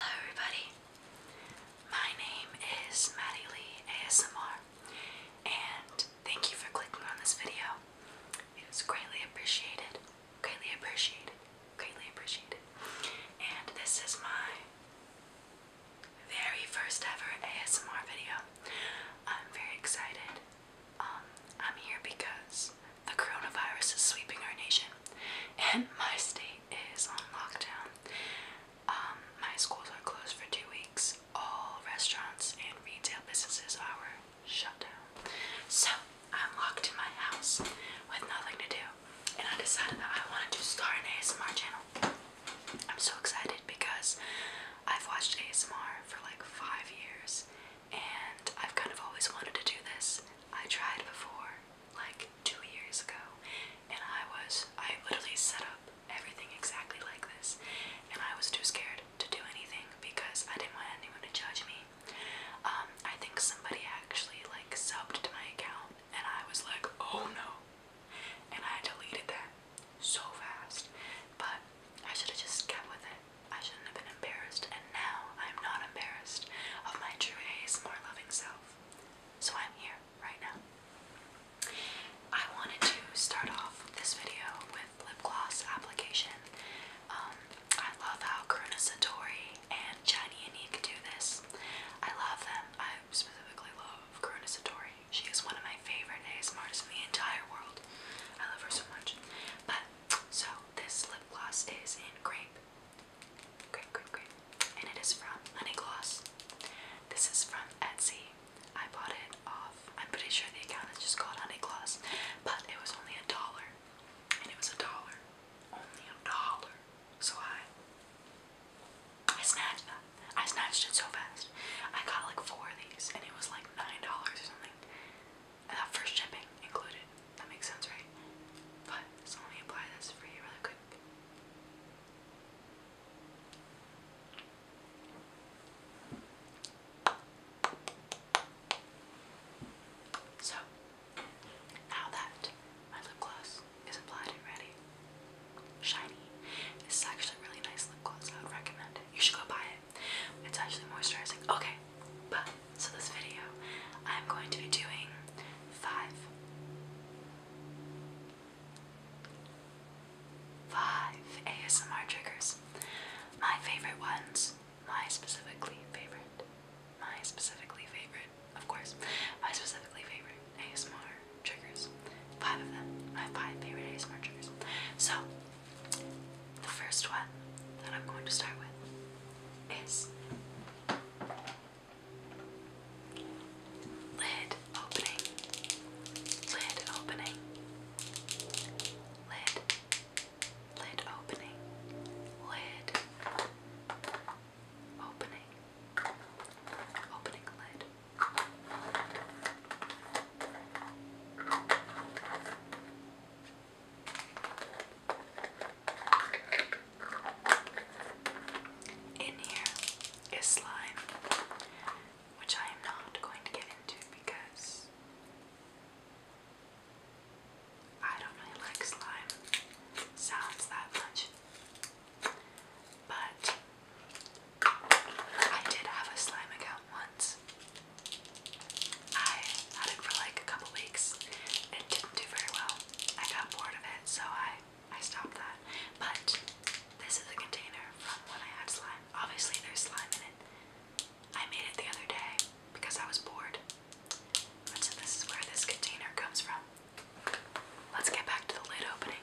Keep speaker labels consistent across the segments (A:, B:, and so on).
A: Hello everybody, my name is Maddie Lee ASMR and thank you for clicking on this video. It was greatly appreciated, greatly appreciated, greatly appreciated. And this is my very first ever ASMR video. I'm very excited. Um, I'm here because the coronavirus is sweeping our nation, and my state is on lockdown. Um, my schools are closed for two weeks. All restaurants and retail businesses are shut down. So I'm locked in my house with nothing to do, and I decided that I wanted to start an ASMR channel. I'm so excited because I've watched ASMR for like five years and I've kind of always wanted to do this. I tried before, like two years ago, and I was, I literally set up everything exactly like this, and I was too scared to do anything because I didn't want anyone to judge me. Um, I think somebody actually like subbed to my account, and I was like, oh no, and I deleted that so fast, but I should have just kept with it. I shouldn't have been embarrassed, and now I'm not embarrassed of my true ASMR loving self. So I'm here right now. I wanted to start off this video with lip gloss application. Um, I love how Karuna Satori and Johnny Unique do this. I love them. I specifically love Karuna Satori. She is one of my favorite ASMR artists in the entire world. I love her so much. But so this lip gloss is in grape Great, great, great. And it is from Honey Gloss. This is from Etsy. I bought it off, I'm pretty sure the account has just called Honey Gloss, but it was only a dollar. And it was a dollar. Only a dollar. So I I snatched that. I snatched it so fast. I got like four of these and it was like nine dollars or something uh, for shipping included. That makes sense, right? But so let me apply this for you really quick. So now that my lip gloss is applied and ready, shiny. This is actually a really nice lip gloss. I would recommend it. You should go buy it. It's actually moisturizing. Okay, but so this video, I'm going to be doing five, five ASMR triggers. My favorite ones, my specifically favorite, my specifically favorite, of course, my specifically favorite ASMR triggers. Five of them, my five favorite ASMR triggers. So, the first one that I'm going to start with is lid opening, lid opening, lid, lid opening, lid opening, opening lid. Lid in here is slime, which I am not going to get into because I don't really like slime sounds that much. But I did have a slime account once I had it for like a couple weeks it didn't do very well. I got bored of it, so I I stopped that. But this is a container from when I had slime. Obviously there's slime in it. I made it the other day because I was bored. so this is where this container comes from. Let's get back to the lid opening.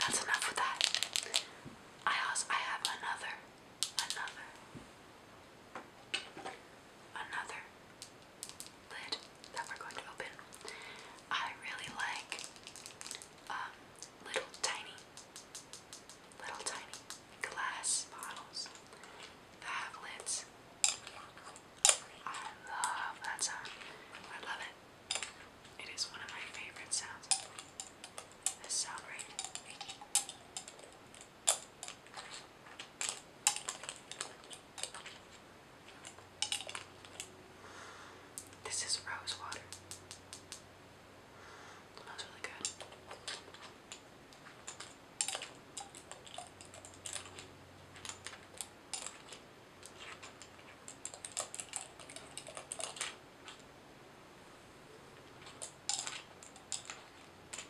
A: That's enough with that. I also I have another, another another lid that we're going to open. I really like um, little tiny, little tiny glass bottles that have lids. I love that sound. I love it. It is one of my favorite sounds. This sound right. This is rose water. Smells really good.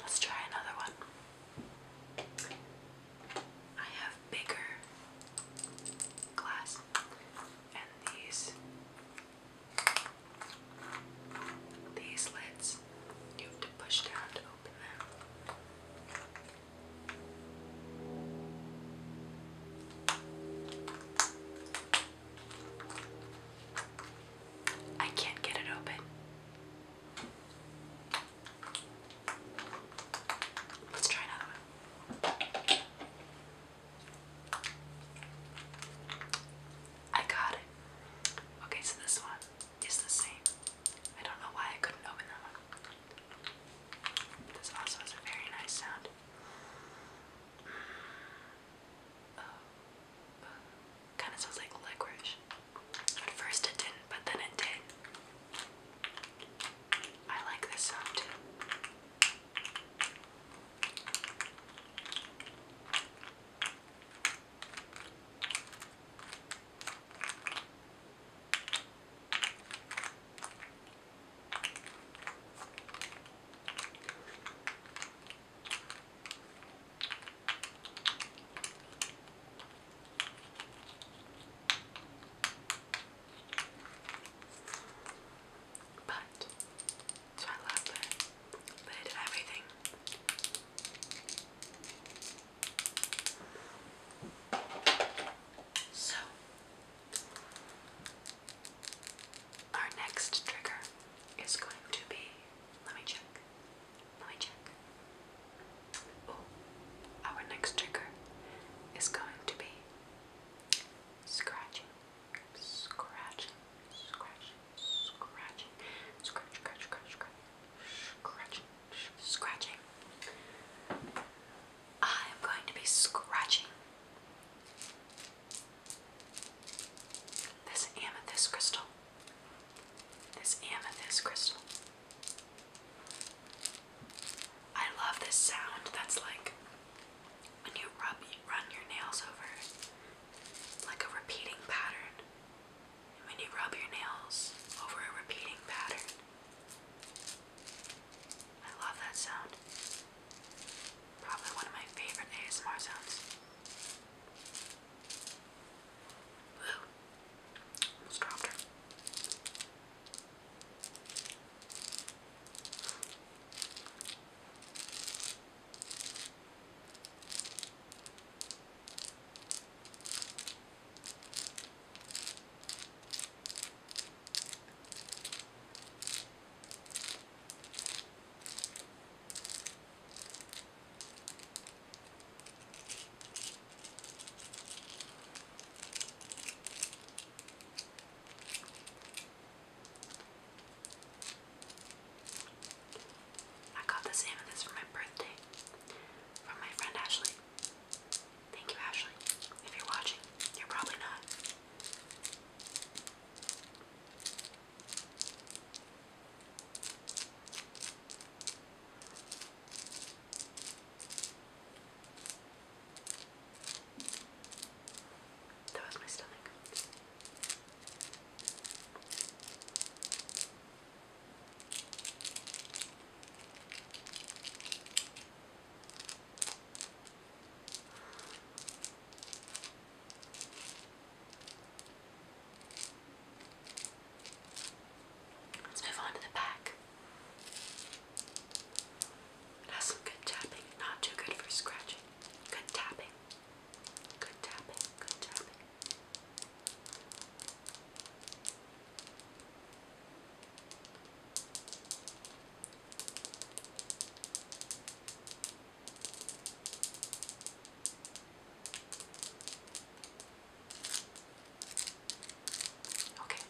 A: Let's try another one. I have bigger glass and these these lids you have to push down to open them. I can't get it open. Let's try another one. I got it. Okay, so this one is the same. I don't know why I couldn't open that one. This also has a very nice sound. Kind of sounds like licorice. At first it didn't, but then it did. I like this sound but so I love it. But everything. So our next trigger is going to be let me check. Let check. Oh, our next trigger is going to be scratching, scratching, scratching, scratching, scratch, scratch, scratch, scratch, scratching, scratching. I am going to be scratching this amethyst crystal. This amethyst crystal. I love this sound. That's like when you rub, run your nails over like a repeating pattern. when you rub your nails over a repeating pattern, I love that sound. Probably one of my favorite ASMR sounds. Woo. Almost dropped her. I got the same of this for my birthday from my friend Ashley. Thank you, Ashley. If you're watching, you're probably not. That was my stomach. Let's move on to the back. It has some good tapping, not too good for scratching. Good tapping. Good tapping, good tapping. Okay,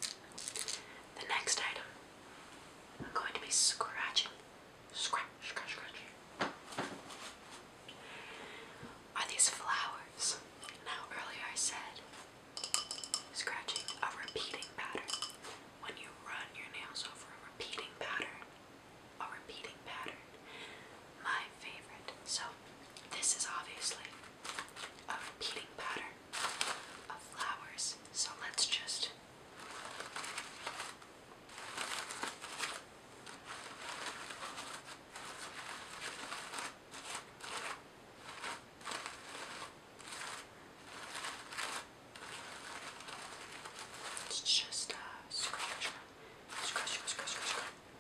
A: the next item I'm going to be scratching. Scratch, scratch, scratch. Are these flowers? Now, earlier I said scratching a repeating pattern. When you run your nails over a repeating pattern, a repeating pattern, my favorite. So, this is obviously a repeating pattern of flowers. So, let's just it's just uh,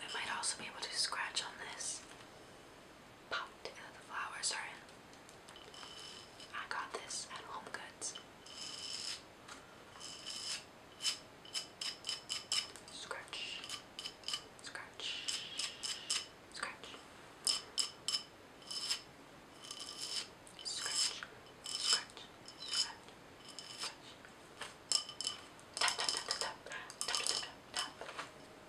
A: We might also be able to scratch on this popped the flowers are in. I got this at Home Goods. Scratch, scratch, scratch, scratch, scratch, scratch, scratch. Tap,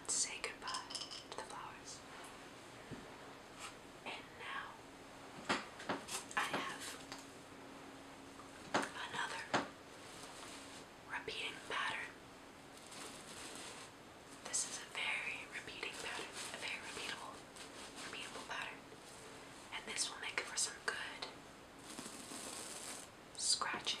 A: Let's say goodbye to the flowers. And now I have Another repeating pattern. This is a very repeating pattern, a very repeatable, repeatable pattern. And this will make for some good scratching.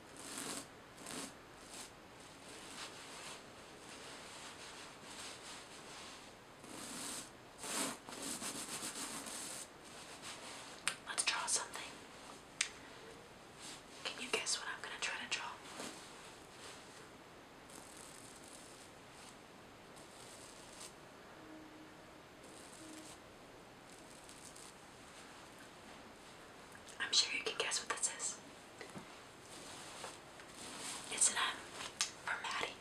A: Let's draw something. Can you guess what I'm going to try to draw? I'm sure you can guess what this is. It's an M um, for Maddie.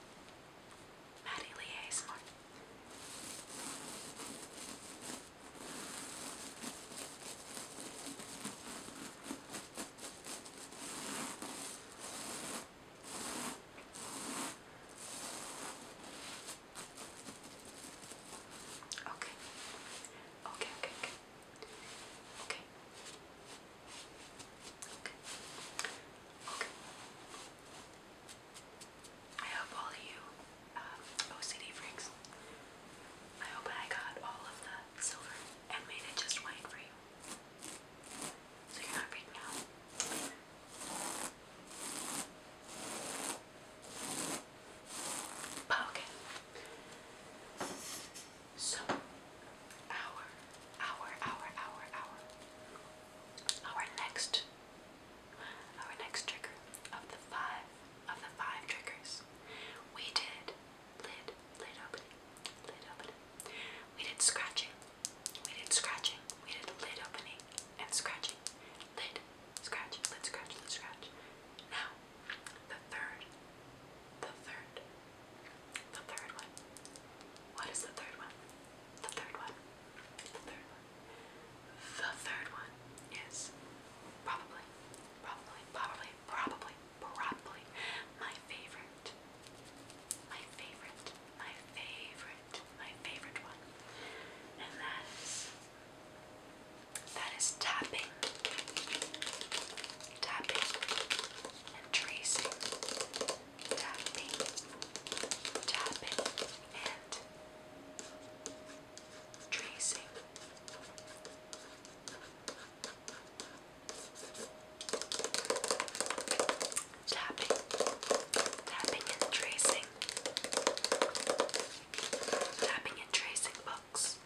A: Maddie Lee Okay. Okay, okay, okay. Okay. Okay. Okay. I hope all of you um, OCD freaks, I hope I got all of the silver and made it just white for you. So you're not freaking out okay. So our our our our our our next our next trigger of the five of the five triggers we did lid lid opening lid opening we did scratching we did scratching we did lid opening and scratching lid Scratch, let's scratch, let's scratch. Now, the third, the third, the third one. What is the third one? The third one. The third one. The third one is probably, probably, probably, probably, probably my favorite. My favorite, my favorite, my favorite one. And that is that is tapping, tapping, and tracing, tapping, tapping, and tracing. Tapping, tapping and tracing Tapping and tracing books.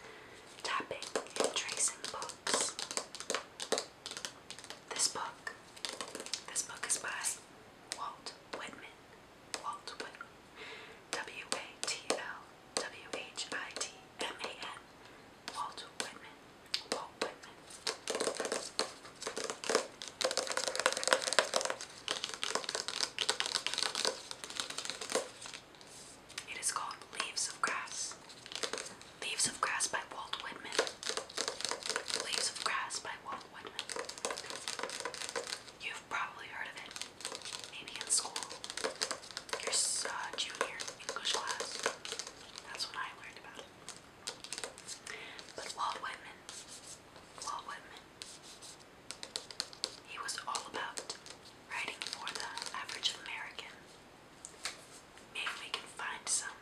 A: Tapping and tracing books. This book. This book is by Walt Whitman. Walt Whitman. W A T L W H I T M A N. Walt Whitman. Walt Whitman. It is called Leaves of Grass. Leaves of Grass by Walt Whitman. Leaves of Grass by Walt Whitman. You've probably heard of it, maybe in school. Your junior English class. That's when I learned about it. But Walt Whitman, Walt Whitman he was all about writing for the average American. Maybe we can find some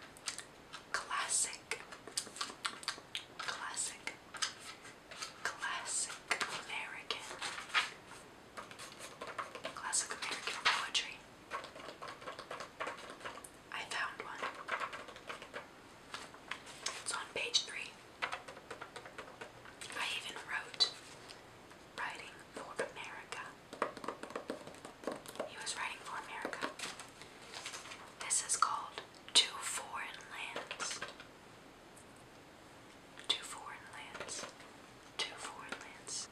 A: classic, classic, classic American, classic American poetry. I found one. It's on page three. I even wrote Writing for America. He was writing for America. This is called Two Foreign Lands. Two Foreign Lands. Two Foreign Lands.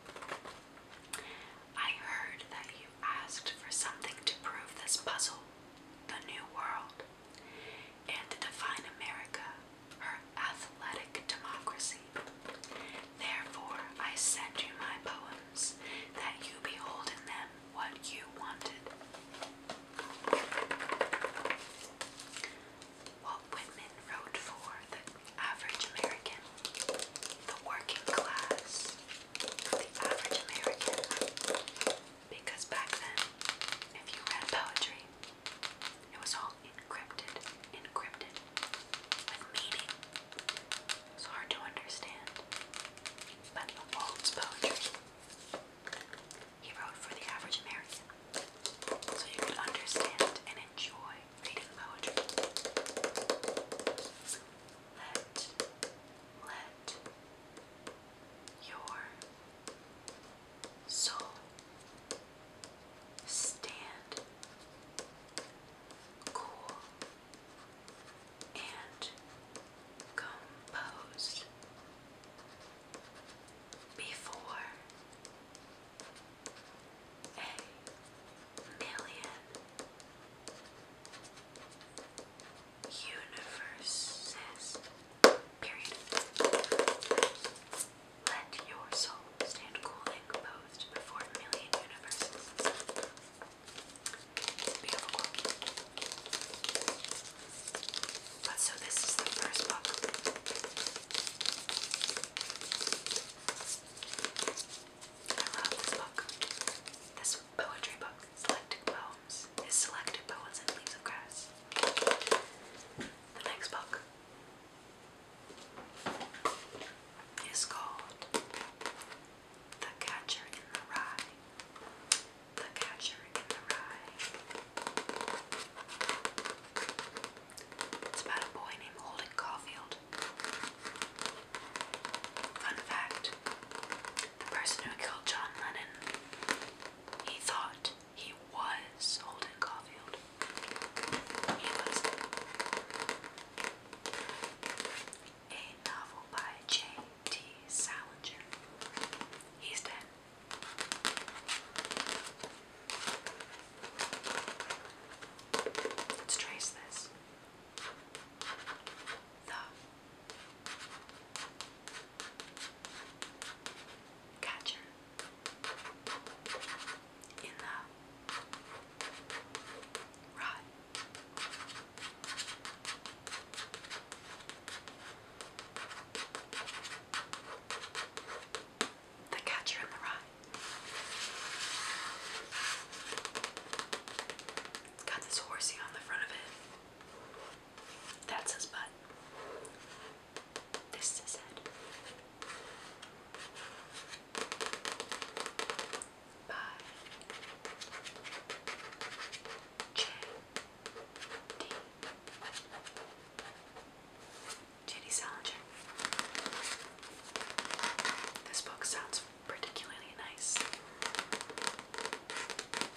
A: I heard that you asked for something to prove this puzzle, the New World and to define America, her athletic democracy. Therefore, I send you my poems, that you behold in them what you wanted. Walt Whitman wrote for the average American, the working class, the average American, because back then, if you read poetry, it was all encrypted, encrypted, with meaning. It was hard to understand. But Walt's poetry, he wrote for the average American, so you could understand and enjoy reading poetry. Let, let, your soul. Stand cool and composed before a million universes. Period. Let your soul stand cool and composed before a million universes. But so this is the first book. I love book. This poetry book. Selected Poems. His Selected Poems and Leaves of Grass. The next book is called The Catcher in the Rye. The Catcher in the Rye. It's about a boy named Holden Caulfield. Fun fact the person who killed John Lennon he thought he was Holden Caulfield. He was a novel by J.T. Salinger. He's dead. Let's trace this the catcher in the rod. The catcher in the rye. It's got this horsey on the front of it. That's his butt. This is it. Bye. J.D. Salinger. This book sounds particularly nice.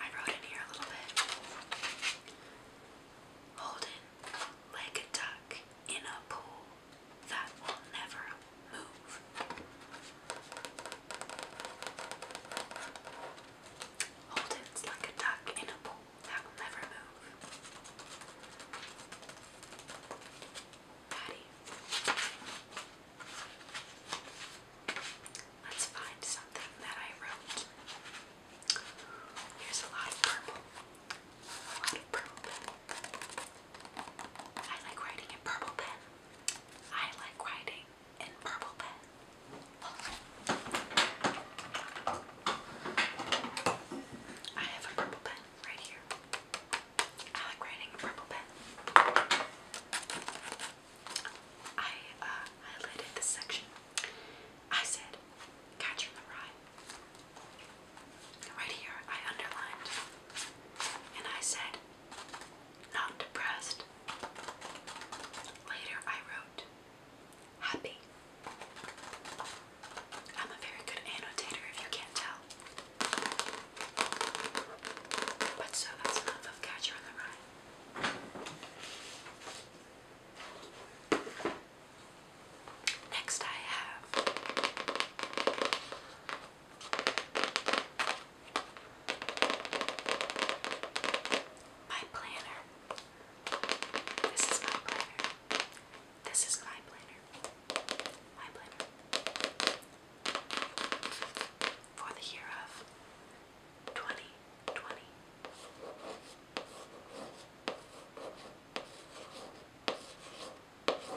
A: I wrote in here a little bit. Holden, leg a duck in a pool that will never move. Hold it like a duck in a pool that will never move. Patty. Let's find something that I wrote. Here's a lot of purple. I like writing in purple pen. I like writing in purple pen. I have a purple pen right here. I like writing purple pen. I uh, highlighted this section. I said, Catcher in the Rye. Right here, I underlined and I said, not depressed. Later, I wrote, happy. I'm a very good annotator if you can't tell. But so that's enough of Catcher in the Rye. Next, I have my planner. This is my planner. This is my planner. My planner. For the year of 2020. 2020.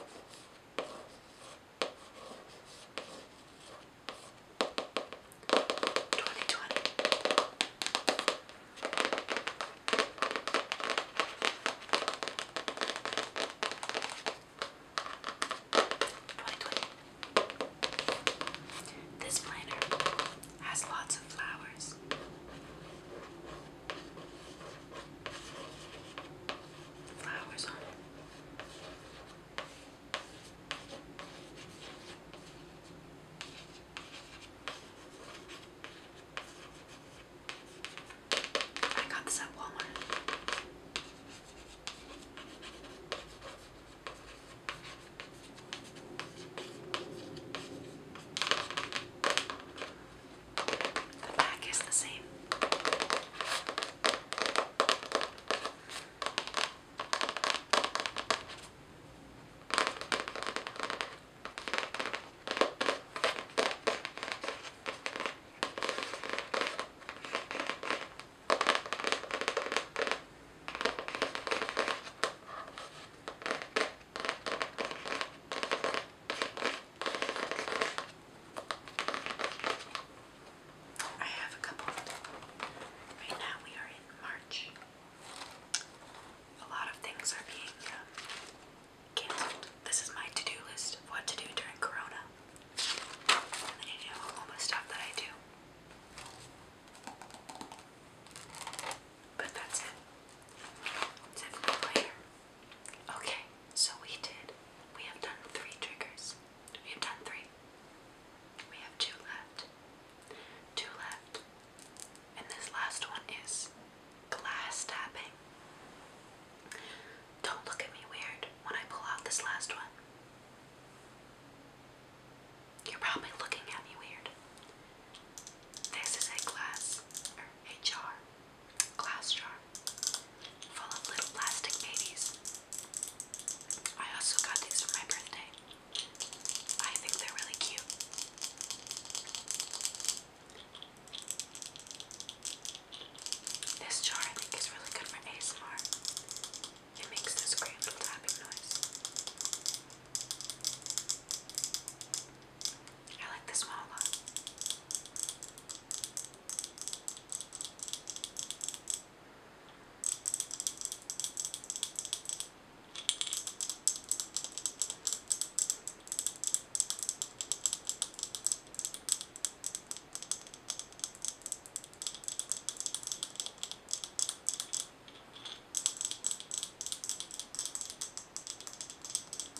A: Twenty twenty. This planner has lots of flowers flowers on it. I got this at Walmart. The back is the same. I have a couple. Right now we are in March. A lot of things are being um, cancelled. This is my to-do list of what to do during Corona. you know all the stuff that I do. But that's it. It's it for the player. Okay, so we did. We have done three triggers. We have done three. We have two left. Two left. And this last one is glass tapping. Don't look at me weird when I pull out this last one. You're probably looking at me weird. This is a glass or a jar glass jar full of little plastic babies. I also got these for my birthday. I think they're really cute. This jar I think is really good for ASMR. It makes this great little tapping noise. I like this one a lot.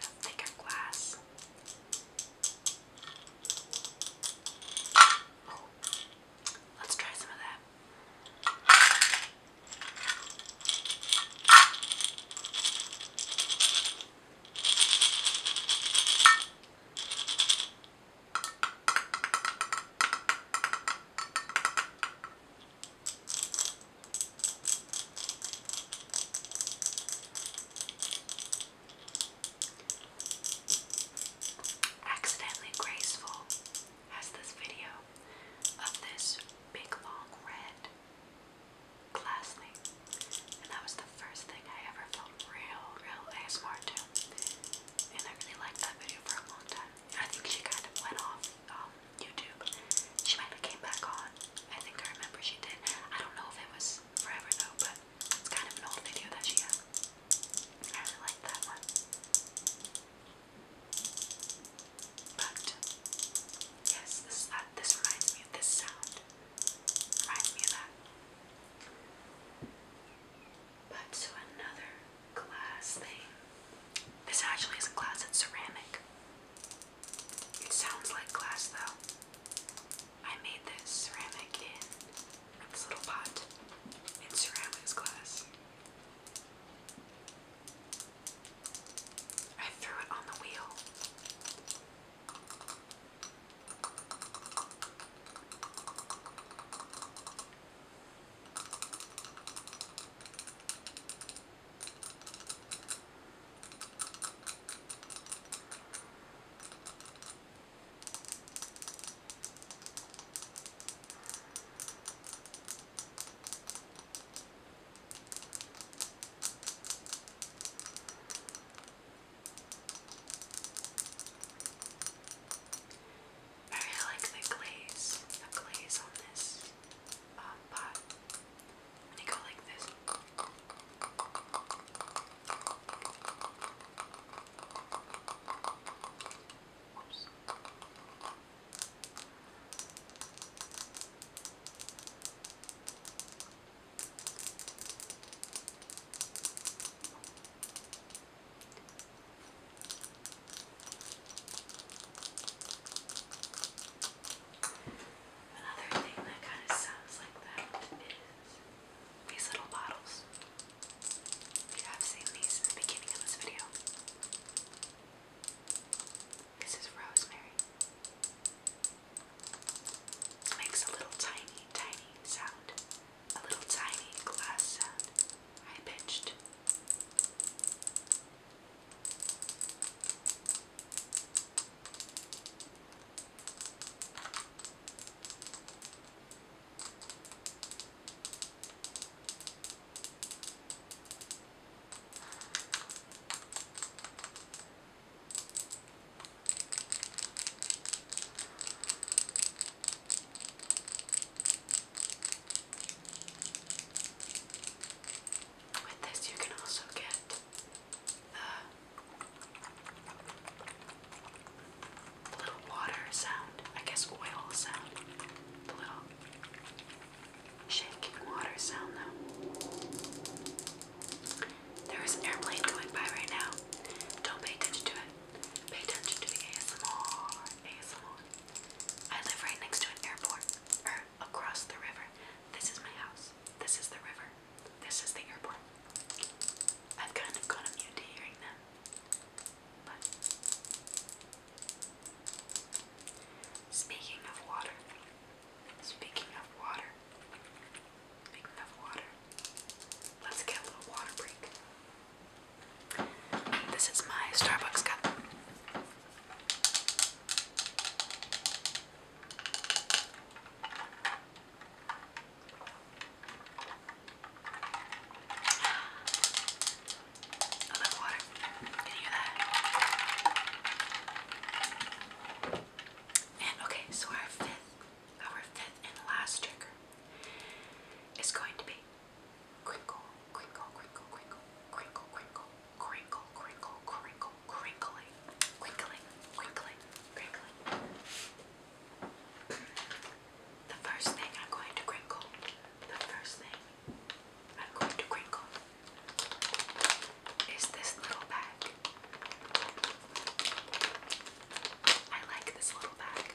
A: A thicker glass. Oh, let's try some of that. Accidentally Graceful has this video of this big long red class And that was the first thing I ever felt real, real ASMR to. And I really liked that video for a long time. I think she kind of went off um, YouTube. She might came back on. I think I remember she did. I don't know if it was forever though, but it's kind of an old video that she had. I really liked that one. But yes, this uh, this reminds me of this sound. Reminds me of that. But so another glass thing. This actually is a glass, it's ceramic. It sounds like glass though. I made this ceramic in this little pot in ceramics glass. I threw it on the wheel. Very like the glaze, the glaze on this uh, pot. When you go like this. Oops. Another thing that kind of sounds like that is these little bottles. You have seen these in the beginning of this video. This is rosemary. makes a little tiny, tiny sound. A little tiny glass sound. High pitched. With this, you can also get the little water sound, I guess oil sound, the little shaking water sound though. There is an airplane going by right now. Don't pay attention to it. Pay attention to the ASMR. ASMR. I live right next to an airport, or across the river. This is my house. This is the river. This is the airport. I've kind of gone immune to hearing them. But speaking of water, Speaking of water, speaking of water, let's get a little water break. This is my Starbucks cup. I water. Can you hear that? And okay, so our fifth, our fifth and last trigger is going to be crinkle, crinkle, crinkle, crinkle, crinkle, crinkle, crinkle, crinkle, crinkle, crinkling, crinkling, crinkling, crinkling. The first thing I'm going to crinkle, the first thing I'm going to crinkle is this little bag. I like this little bag.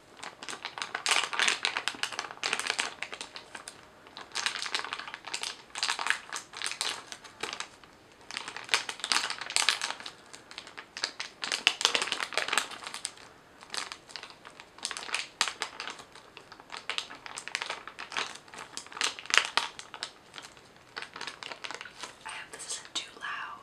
A: I hope this isn't too loud.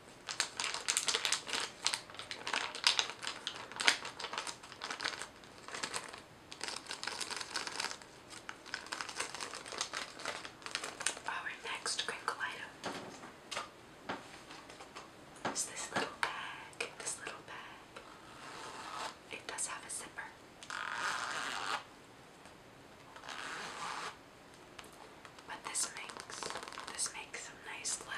A: Our next crinkle item is this little bag. This little bag. It does have a zipper. But this makes this makes some nice little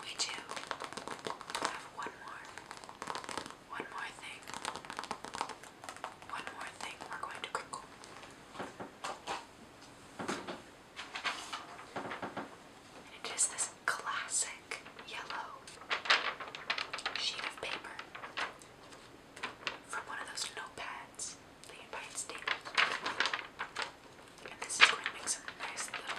A: We do have one more, one more thing, one more thing we're going to cook. It is this classic yellow sheet of paper from one of those notepads that you buy in And this is going to make some nice little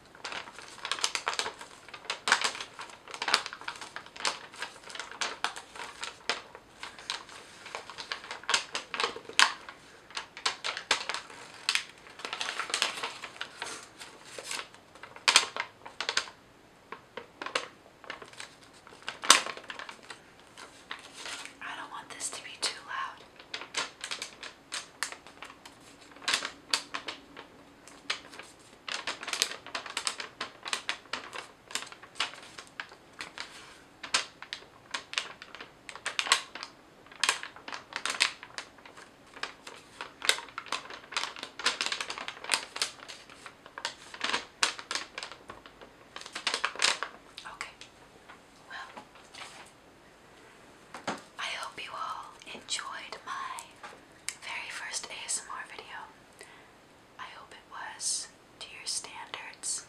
A: I don't want this to be too loud. Okay, well, I hope you all enjoyed my very first ASMR video. I hope it was to your standards.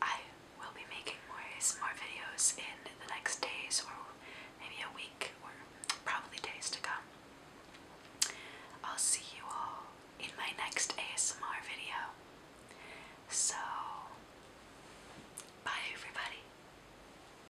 A: I will be making more ASMR videos in the next days or maybe a week or probably days to come. I'll see you all in my next ASMR video. So, bye everybody.